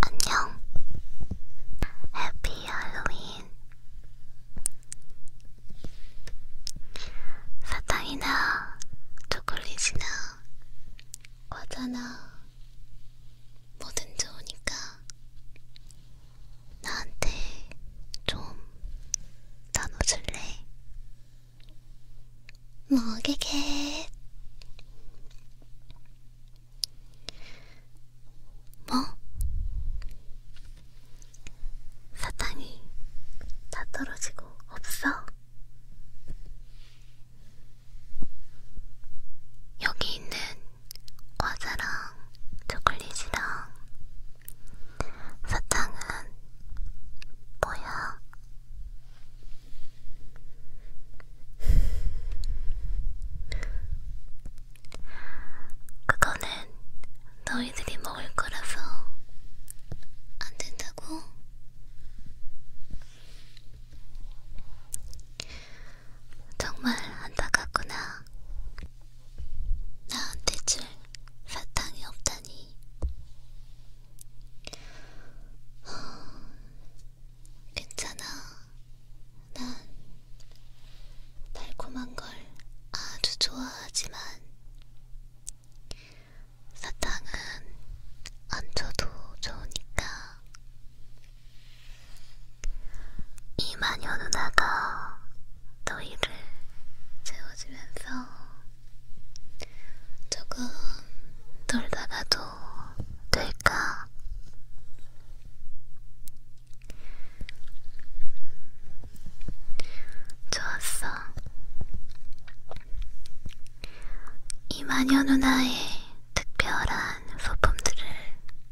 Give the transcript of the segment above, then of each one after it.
안녕. 해피 할로윈. 사탕이나 초콜릿이나 과자나 뭐든 좋으니까 나한테 좀 나눠줄래? 먹이게 뭐? 사탕이 다 떨어지고 없어? 여기 있는 과자랑 초콜릿이랑 사탕은 뭐야? 그거는 너희들이 먹을 거라서 안 된다고? 정말 안타깝구나. 나한테 줄 사탕이 없다니. 괜찮아. 난 달콤한 걸 아주 좋아하지만 사탕은 안 줘도 좋으니까 이 마녀 누나가 너희를 재워주면서 조금 놀다가도 될까? 좋았어. 이 마녀 누나의 특별한 소품들을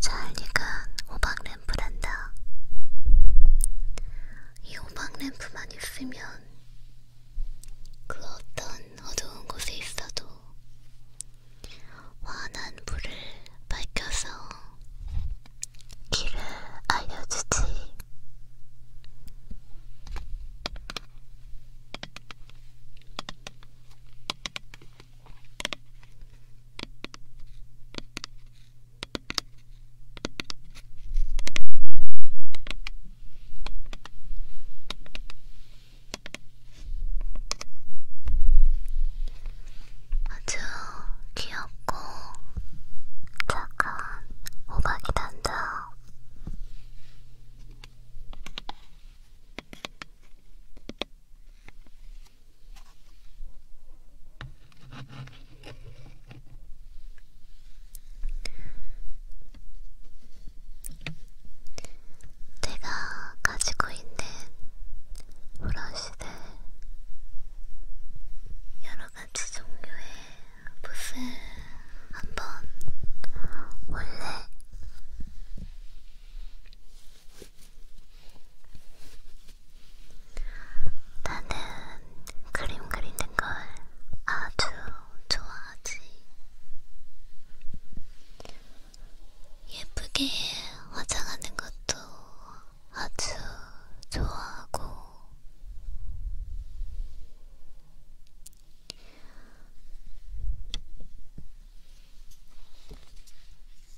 찰리가 호박 램프란다. 이 호박 램프만 있으면 그 어떤 어두운 곳에 있어도 환한 불을 밝혀서 길을 알려주지. 아주 귀엽고 착한 호박이 단다. 제가 가지고 있는 브러쉬들 여러가지 종류의 붓을 한번 원래 나는 그림 그리는 걸 아주 좋아하지. 예쁘게 화장하는 것도 아주 좋아하고,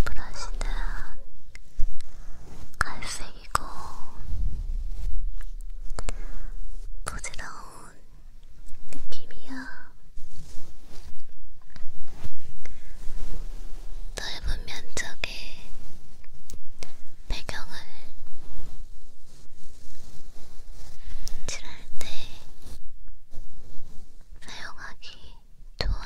브러시는 갈색이고 부드러운 느낌이야. 넓은 면적에 배경을 칠할 때 사용하기 좋아.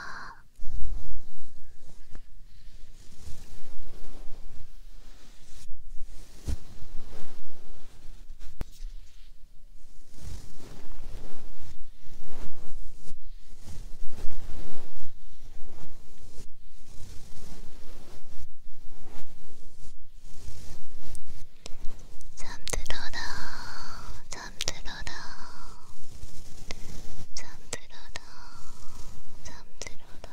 잠들어라, 잠들어라, 잠들어라, 잠들어라, 잠들어라.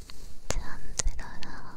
잠들어라.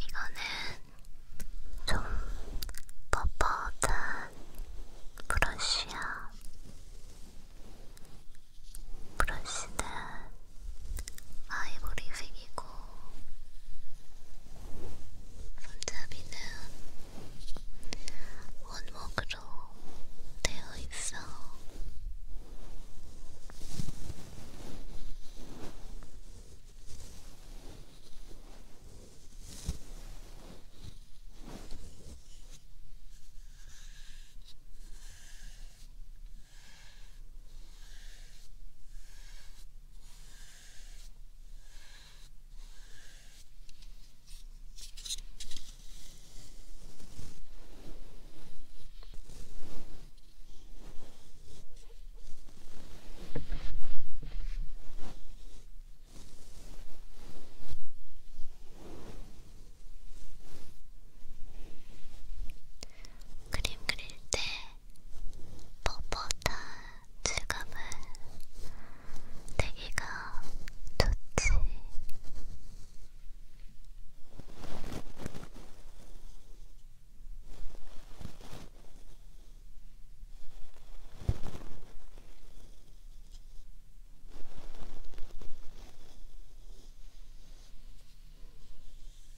이거는 좀 뻣뻣한 브러쉬야. 브러쉬는 아이보리색이고 손잡이는 원목으로 되어 있어. 그림 그릴 때 뻣뻣한 질감을 내기가 좋지.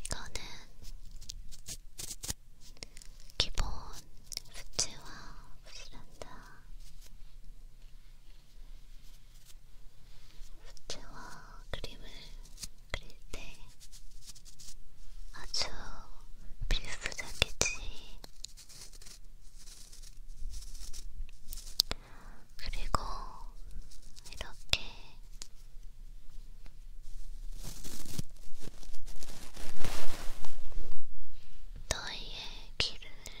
이거는 기본 수치와 부스란다 붓와 그림을 그릴 때 아주 필수적이지. 그리고 이렇게 너희의 길을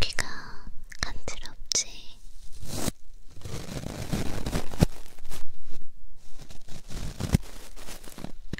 귀가 간지럽지?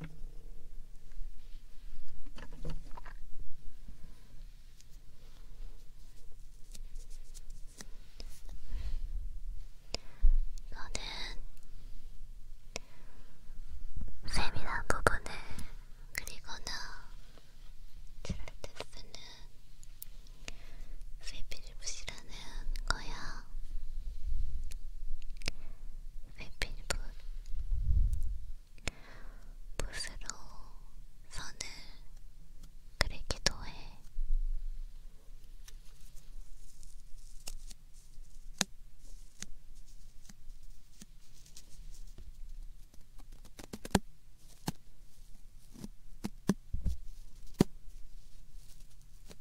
너는 세밀한 부분을 그리거나 칠할 때 쓰는 세필 붓이라는 거야? 회필붓 붓으로 선을 그리기도 해.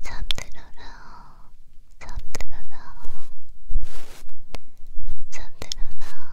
잠들어라 잠들어라 잠들어라 들어라 들어라 잠들어라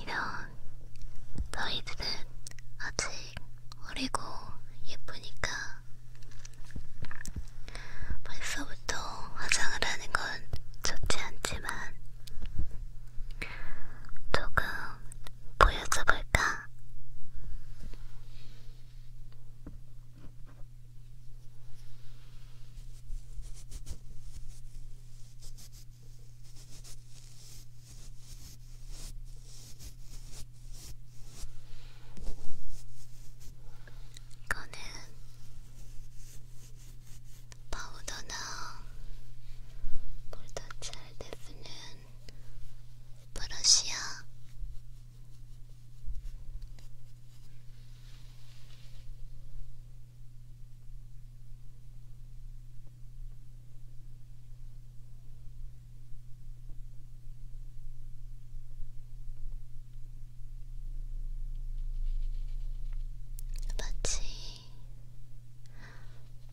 이런 너희들은 아직 어리고 예쁘니까 벌써부터 화장을 하는 건 좋지 않지만 조금 보여줘볼까? 이거는 파우더나 볼터치할 때 쓰는 브러쉬야. 마치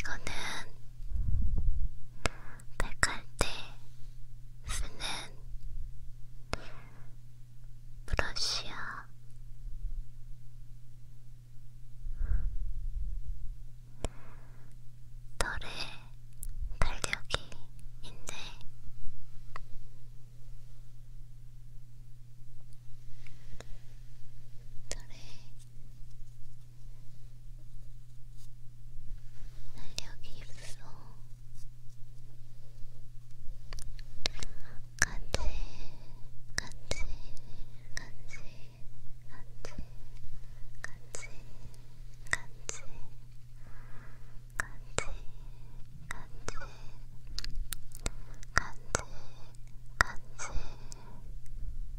이거는 백할 때 쓰는 브러쉬야. 털에 탄력이 있네. 털에 날력이 있어 간질 간질 간질 간질 간질 간질 간질 간질 간질 간질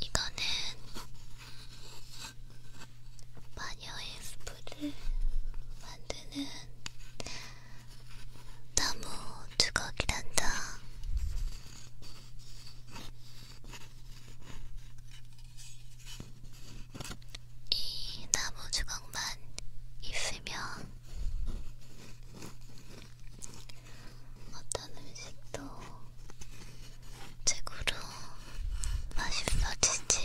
이거는 마녀의 스프를 만드는 나무 두각이란다. 이 나무 두각만 있으면 어떤 음식도 최고로 맛있어지지.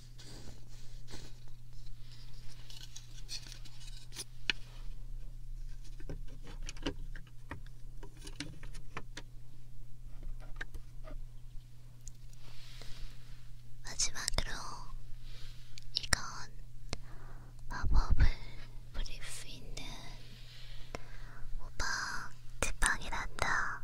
마지막으로 이건 마법을 부릴 수 있는 호박 지팡이란다.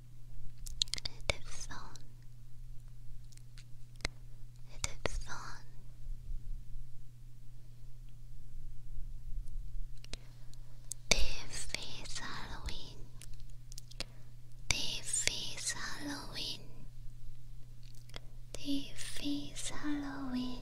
Edison Edison This is Halloween This is Halloween This is Halloween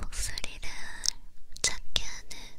목소리를 작게 하는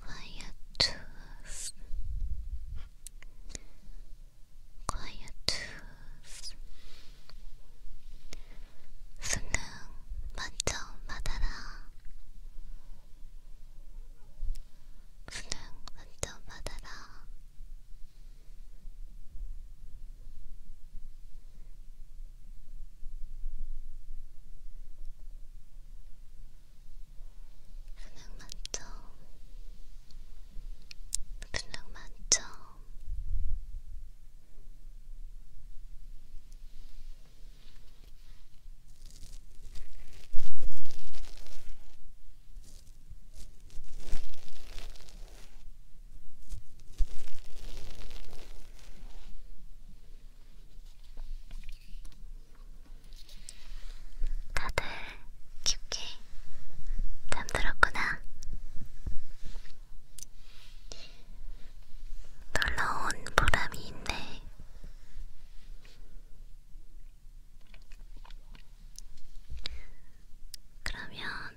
quiet tooth, quiet tooth. 수능 만점 받아라. 수능 만점 받아라. 그냥 만점, 그냥 만점. 다들 깊게 잠들었구나. 놀러온 보람이 있네. 그러면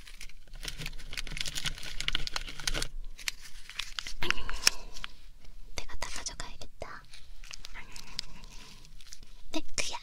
내가 다 가져가야겠다. 내 네, 그야.